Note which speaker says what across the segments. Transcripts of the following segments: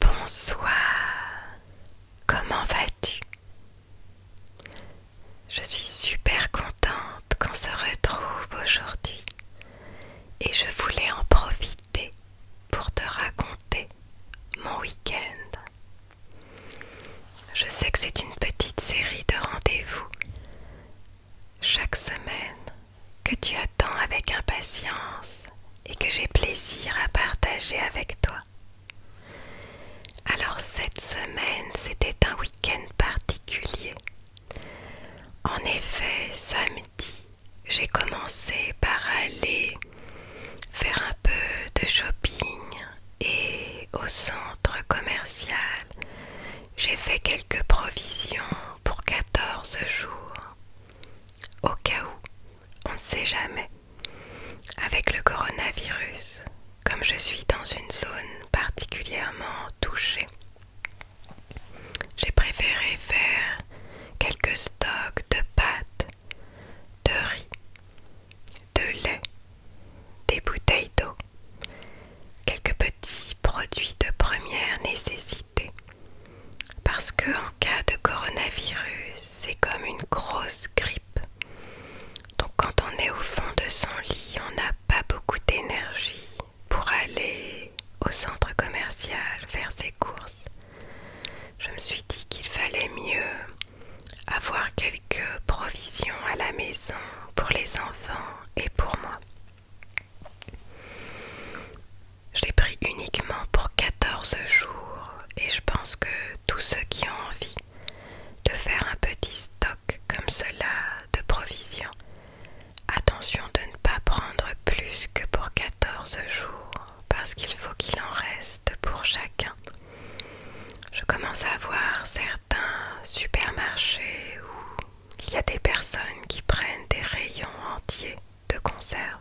Speaker 1: Bonsoir, comment vas-tu Je suis super contente qu'on se retrouve aujourd'hui et je voulais en profiter pour te raconter mon week-end. Je sais que c'est une petite série de rendez-vous chaque semaine que tu attends avec impatience et que j'ai plaisir à partager avec toi. Alors cette semaine, c'était un week-end particulier. En effet, samedi, j'ai commencé par aller faire un peu de shopping et au centre commercial, j'ai fait quelques provisions pour 14 jours. Au cas où, on ne sait jamais. Avec le coronavirus, comme je suis dans une zone particulièrement touchée, j'ai préféré faire quelques stocks de pâtes, de riz, de lait, des bouteilles d'eau, quelques petits produits de première nécessité parce que en cas de coronavirus, c'est comme une grosse grippe. Donc quand on est au fond de son lit, on n'a pas beaucoup d'énergie pour aller au centre commercial faire ses courses. Je me suis dit qu'il fallait mieux avoir quelques provisions à la maison pour les enfants et pour moi. Je l'ai pris uniquement pour 14 jours et je pense que tous ceux qui ont envie de faire un petit stock comme cela de provisions, attention de ne pas prendre plus que pour 14 jours parce qu'il faut qu'il en reste pour chacun. Je commence à voir certains supermarchés ou il y a des personnes qui prennent des rayons entiers de conserve.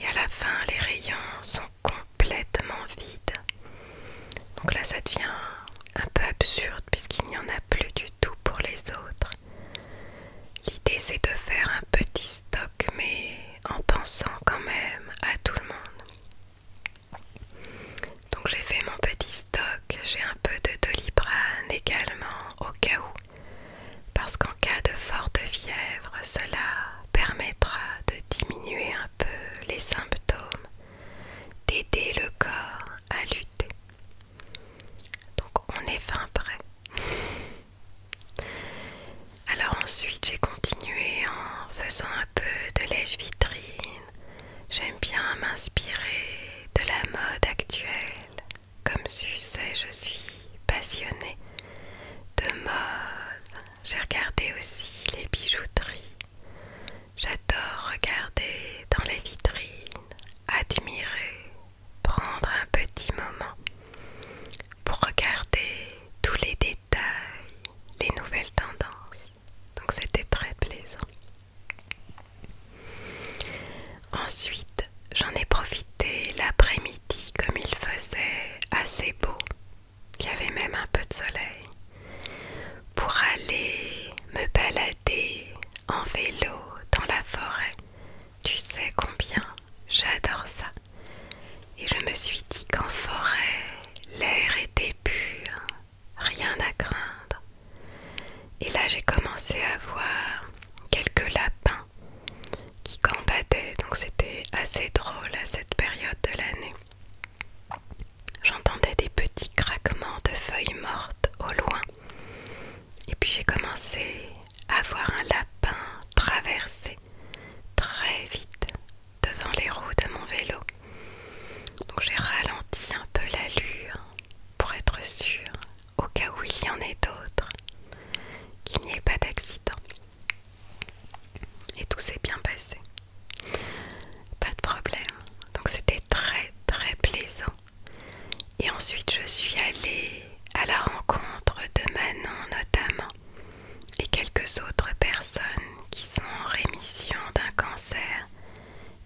Speaker 1: Et à la fin, les rayons sont complètement vides. Donc là, ça devient un peu absurde puisqu'il n'y en a plus du tout pour les autres. L'idée, c'est de faire un petit stock, mais en pensant quand même à tout le monde. Donc j'ai fait mon petit stock j'ai un peu de doliprane également au cas où, parce qu'en cas de forte fièvre, cela permettra de diminuer un peu les symptômes, d'aider le corps à lutter. Donc on est fin prêt. Alors ensuite j'ai continué en faisant un peu de lèche vitrine J'aime bien m'inspirer de la mode actuelle. Comme tu sais, je suis passionnée de mode. J'ai regardé aussi les bijouteries. J'adore regarder dans les vitrines, admirer, prendre un petit moment pour regarder tous les détails, les nouvelles tendances. Donc c'était très plaisant. Ensuite, j'en ai profité l'après-midi comme il faisait assez beau, Il y avait même un peu de soleil, pour aller me balader en vélo dans la forêt. Tu sais combien j'adore ça. Et je me suis dit qu'en forêt, l'air était pur, rien à craindre. Et là, j'ai commencé à voir quelques lapins qui combattaient donc c'était assez drôle à cette période de l'année. J'entendais des petits craquements de feuilles mortes au loin. Et puis j'ai commencé à voir un lapin traverser très vite devant les roues de mon vélo. Donc j'ai ralenti un peu l'allure pour être sûre, au cas où il y en ait d'autres, qu'il n'y ait pas d'accident. Et tout s'est bien passé. Pas de problème. Donc c'était très très plaisant. Et ensuite je suis allée à la rencontre de Manon notamment et quelques autres personnes qui sont en rémission d'un cancer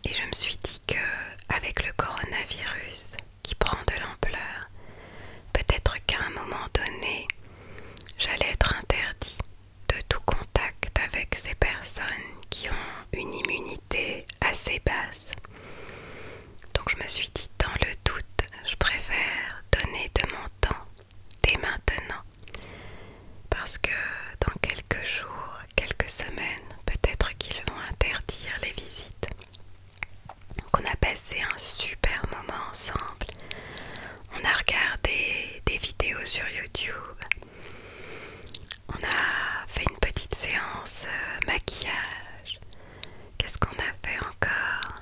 Speaker 1: et je me suis dit que avec le coronavirus qui prend de l'ampleur, peut-être qu'à un moment donné, j'allais être interdit de tout contact avec ces personnes qui ont une immunité assez basse. Donc je me suis dit dans le doute, je préfère donner de mon temps dès maintenant parce que dans quelques jours, quelques semaines, peut-être qu'ils vont interdire les visites. Donc on a passé un super moment ensemble. On a regardé des vidéos sur YouTube. On a fait une petite séance euh, maquillage. Qu'est-ce qu'on a fait encore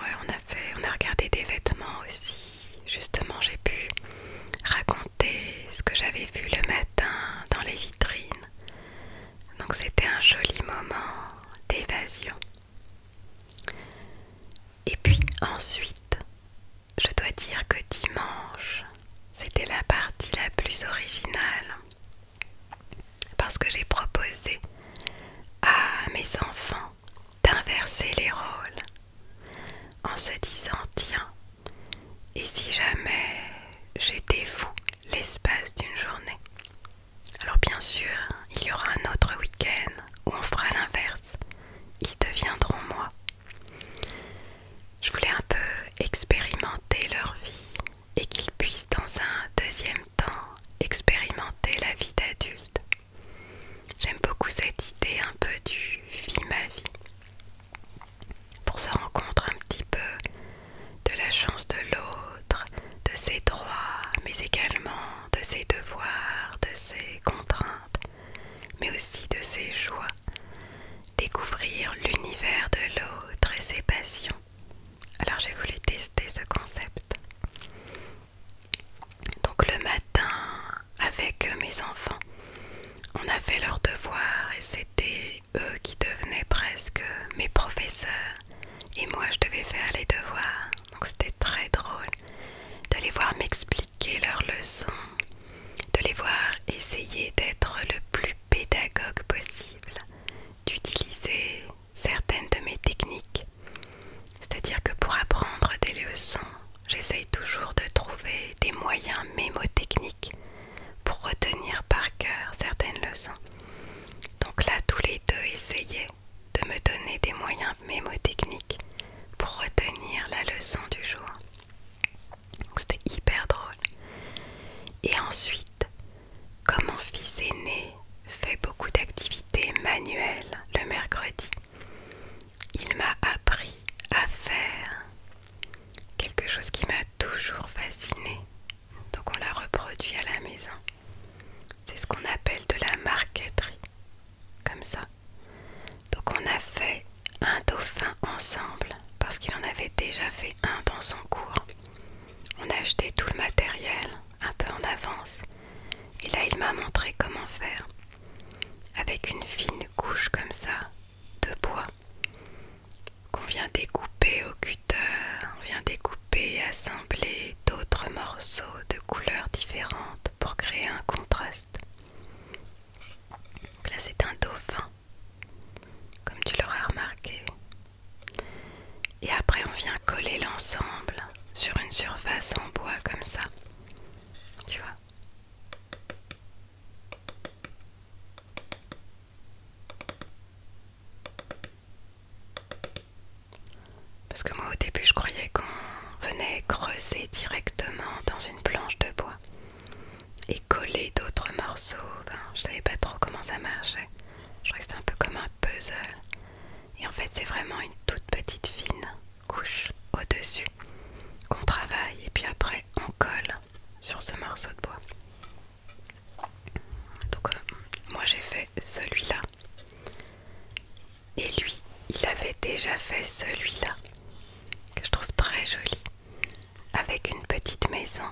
Speaker 1: Ouais, on a fait, on a regardé des vêtements aussi. Justement, j'ai pu raconter ce que j'avais vu le matin dans les vitrines. Donc c'était un joli moment d'évasion. Et puis ensuite, je dois dire que dimanche, c'était la partie la plus originale. Parce que j'ai proposé à mes enfants d'inverser les rôles en se disant tiens, et si jamais j'étais vous l'espace d'une journée Alors bien sûr, il y aura un autre week-end où on fera l'inverse. Ils deviendront moi. Je voulais un peu expérimenter leur vie et qu'ils puissent dans un deuxième temps expérimenter la vie d'adulte. J'aime beaucoup cette idée un peu du vie ma vie. Pour se rencontrer un petit peu de la chance de l'autre, de ses droits, mais également de ses devoirs, de ses contraintes, mais aussi de ses joies. Découvrir l'univers de l'autre et ses passions. Alors j'ai voulu tester ce concept. Donc le matin, avec mes enfants, on a fait leurs devoirs et c'était eux qui devenaient presque mes professeurs. Et moi, je devais faire les devoirs. Donc c'était très drôle de les voir m'expliquer leurs leçons, de les voir essayer d'être le plus pédagogue possible, d'utiliser certaines de mes techniques. C'est-à-dire que pour apprendre des leçons, j'essaye toujours de trouver des moyens mémotechniques pour retenir par cœur certaines leçons. Donc là, tous les deux essayaient de me donner des moyens mémotechniques pour retenir la leçon du jour. C'était hyper drôle. Et ensuite, comme mon fils aîné fait beaucoup d'activités manuelles le mercredi, il m'a appris à faire quelque chose qui m'a toujours fasciné. Donc on l'a reproduit à la maison. C'est ce qu'on appelle de la marqueterie. Comme ça. Donc on a fait un dauphin ensemble parce qu'il en avait déjà fait un dans son cours. On a acheté tout le matériel un peu en avance et là il m'a montré comment faire avec une fine couche comme ça de bois qu'on vient découper au cutter, on vient découper et assembler d'autres morceaux de couleurs différentes pour créer un contraste. là c'est un dauphin, comme tu l'auras remarqué, et après on vient coller l'ensemble sur une surface en bois comme ça. Tu vois Parce que moi au début je croyais qu'on venait creuser directement dans une planche de bois et coller d'autres morceaux. je savais pas trop comment ça marchait. Je crois que c'est un peu comme un puzzle. Et en fait, c'est vraiment une toute petite fine couche au-dessus qu'on travaille et puis après on colle sur ce morceau de bois. Donc euh, moi j'ai fait celui-là. Et lui, il avait déjà fait celui-là, que je trouve très joli, avec une petite maison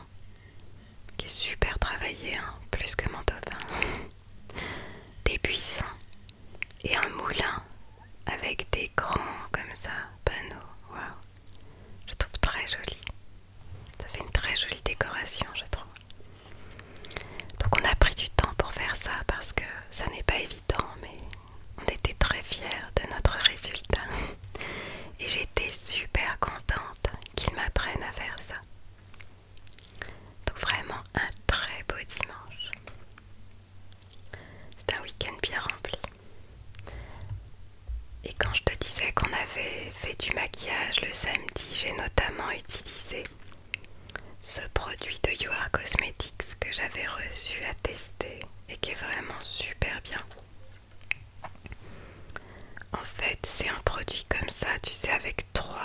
Speaker 1: qui est super travaillé, hein, plus que mon dauphin. Des buissons et un moulin avec des grands comme ça panneaux. Waouh, je trouve très joli. Ça fait une très jolie décoration, je trouve. Donc on a pris du temps pour faire ça parce que ça n'est pas évident, mais on était très fiers de notre résultat. Et j'étais super contente qu'ils m'apprennent à faire ça. Donc vraiment un très beau dimanche. C'est un week-end bien rempli. Et quand je te disais qu'on avait fait du maquillage le samedi, j'ai notamment utilisé ce produit de You Cosmetics que j'avais reçu à tester et qui est vraiment super bien. En fait, c'est un produit comme ça, tu sais, avec trois,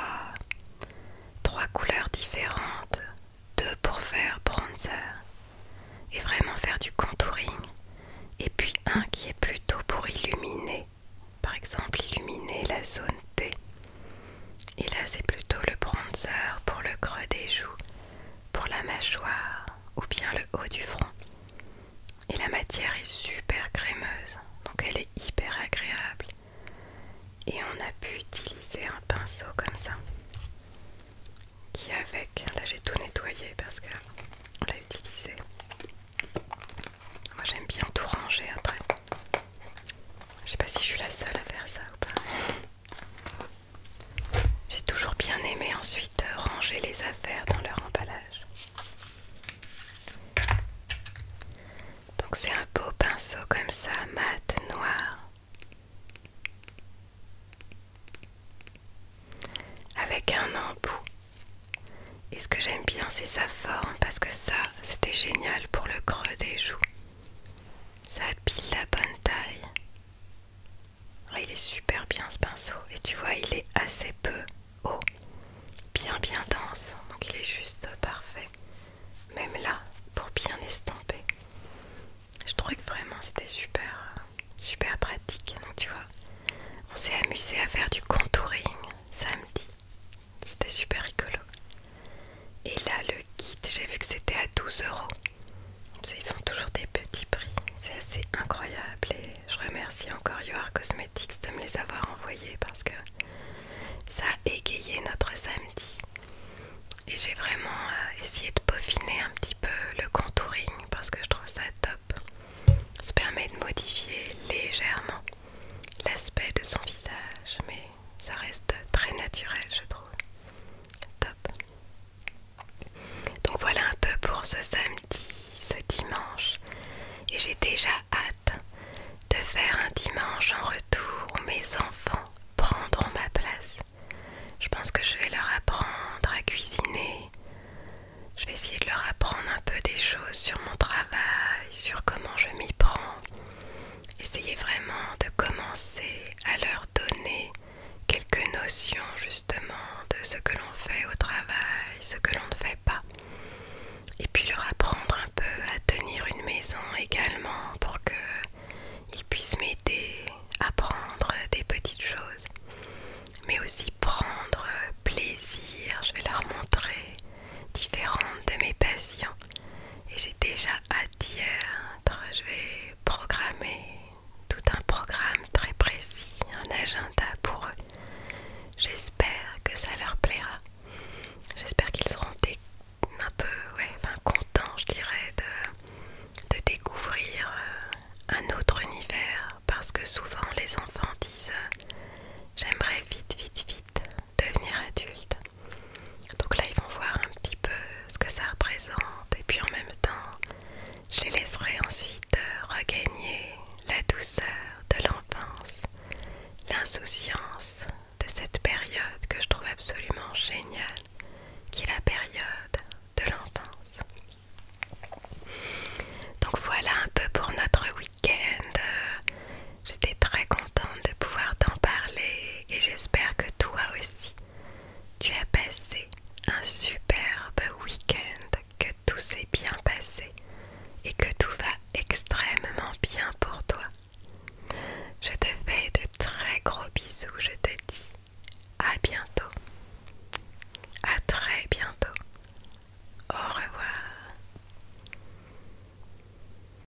Speaker 1: couleurs différentes. Deux pour faire bronzer et vraiment faire du contouring. Et puis un qui est plutôt pour illuminer. Par exemple, illuminer la zone T. Et là, c'est plutôt le bronzer pour le creux des joues, pour la mâchoire ou bien le haut du front. Et la matière est super crémeuse, donc elle est hyper agréable. Et on a pu utiliser un pinceau comme ça, qui avec, là j'ai tout nettoyé parce que on l'a utilisé. Moi j'aime bien tout ranger après. Je sais pas si je suis la seule à faire ça ou pas. J'ai toujours bien aimé ensuite ranger les affaires dans leur emballage. Donc c'est un beau pinceau comme ça, mat, noir. Avec un embout. Et ce que j'aime bien c'est sa forme parce que ça c'était génial pour le creux des joues. Ça pile la bonne taille. Ah, il est super bien ce pinceau et tu vois il est assez peu haut, bien bien dense, donc il est juste parfait. Même là pour bien estomper. Je trouvais que vraiment c'était super super pratique. Donc tu vois, on s'est amusé à faire du contouring samedi. C'était super rigolo. Et là le kit, j'ai vu que c'était à 12 euros. Ils font toujours des petits prix, c'est assez incroyable et je remercie encore Yoar Cosmetics de me les avoir envoyés parce que ça a égayé notre samedi. Et j'ai vraiment euh, essayé de peaufiner un petit peu le contouring parce que je trouve ça top. Ça permet de modifier légèrement l'aspect de son visage mais ça reste très naturel je trouve. Top. Donc voilà un peu pour ce samedi, ce dimanche. Et j'ai déjà hâte de faire un dimanche en retour où mes enfants prendront ma place. Je pense que je vais leur apprendre à cuisiner. Je vais essayer de leur apprendre un peu des choses sur mon travail, sur comment je m'y prends. Essayer vraiment de commencer à leur donner quelques notions justement de ce que l'on fait au travail, ce que l'on ne fait pas. Et puis leur apprendre un peu à tenir une maison également pour qu'ils puissent m'aider à prendre des petites choses. Mais aussi prendre plaisir. Je vais leur montrer différentes de mes passions. Et j'ai déjà à dire, Je vais programmer tout un programme très précis, un agenda pour eux. J'espère que ça leur plaira. J'espère qu'ils seront un peu contents, je dirais, de découvrir euh, un autre univers. Parce que souvent les enfants disent euh, J'aimerais vite, vite, vite devenir adulte. Donc là, ils vont voir un petit peu ce que ça représente et puis en même temps, je les laisserai ensuite euh, regagner la douceur de l'enfance, l'insouciance de cette période que je trouve absolument géniale, qui est la période de l'enfance. Donc voilà un peu pour notre week-end. Euh, J'étais très contente de pouvoir t'en parler et j'espère que toi aussi, tu as passé un superbe week-end, que tout s'est bien passé et que tout va extrêmement bien pour toi. Je te fais de très gros bisous, je te dis à bientôt. À très bientôt. Au revoir.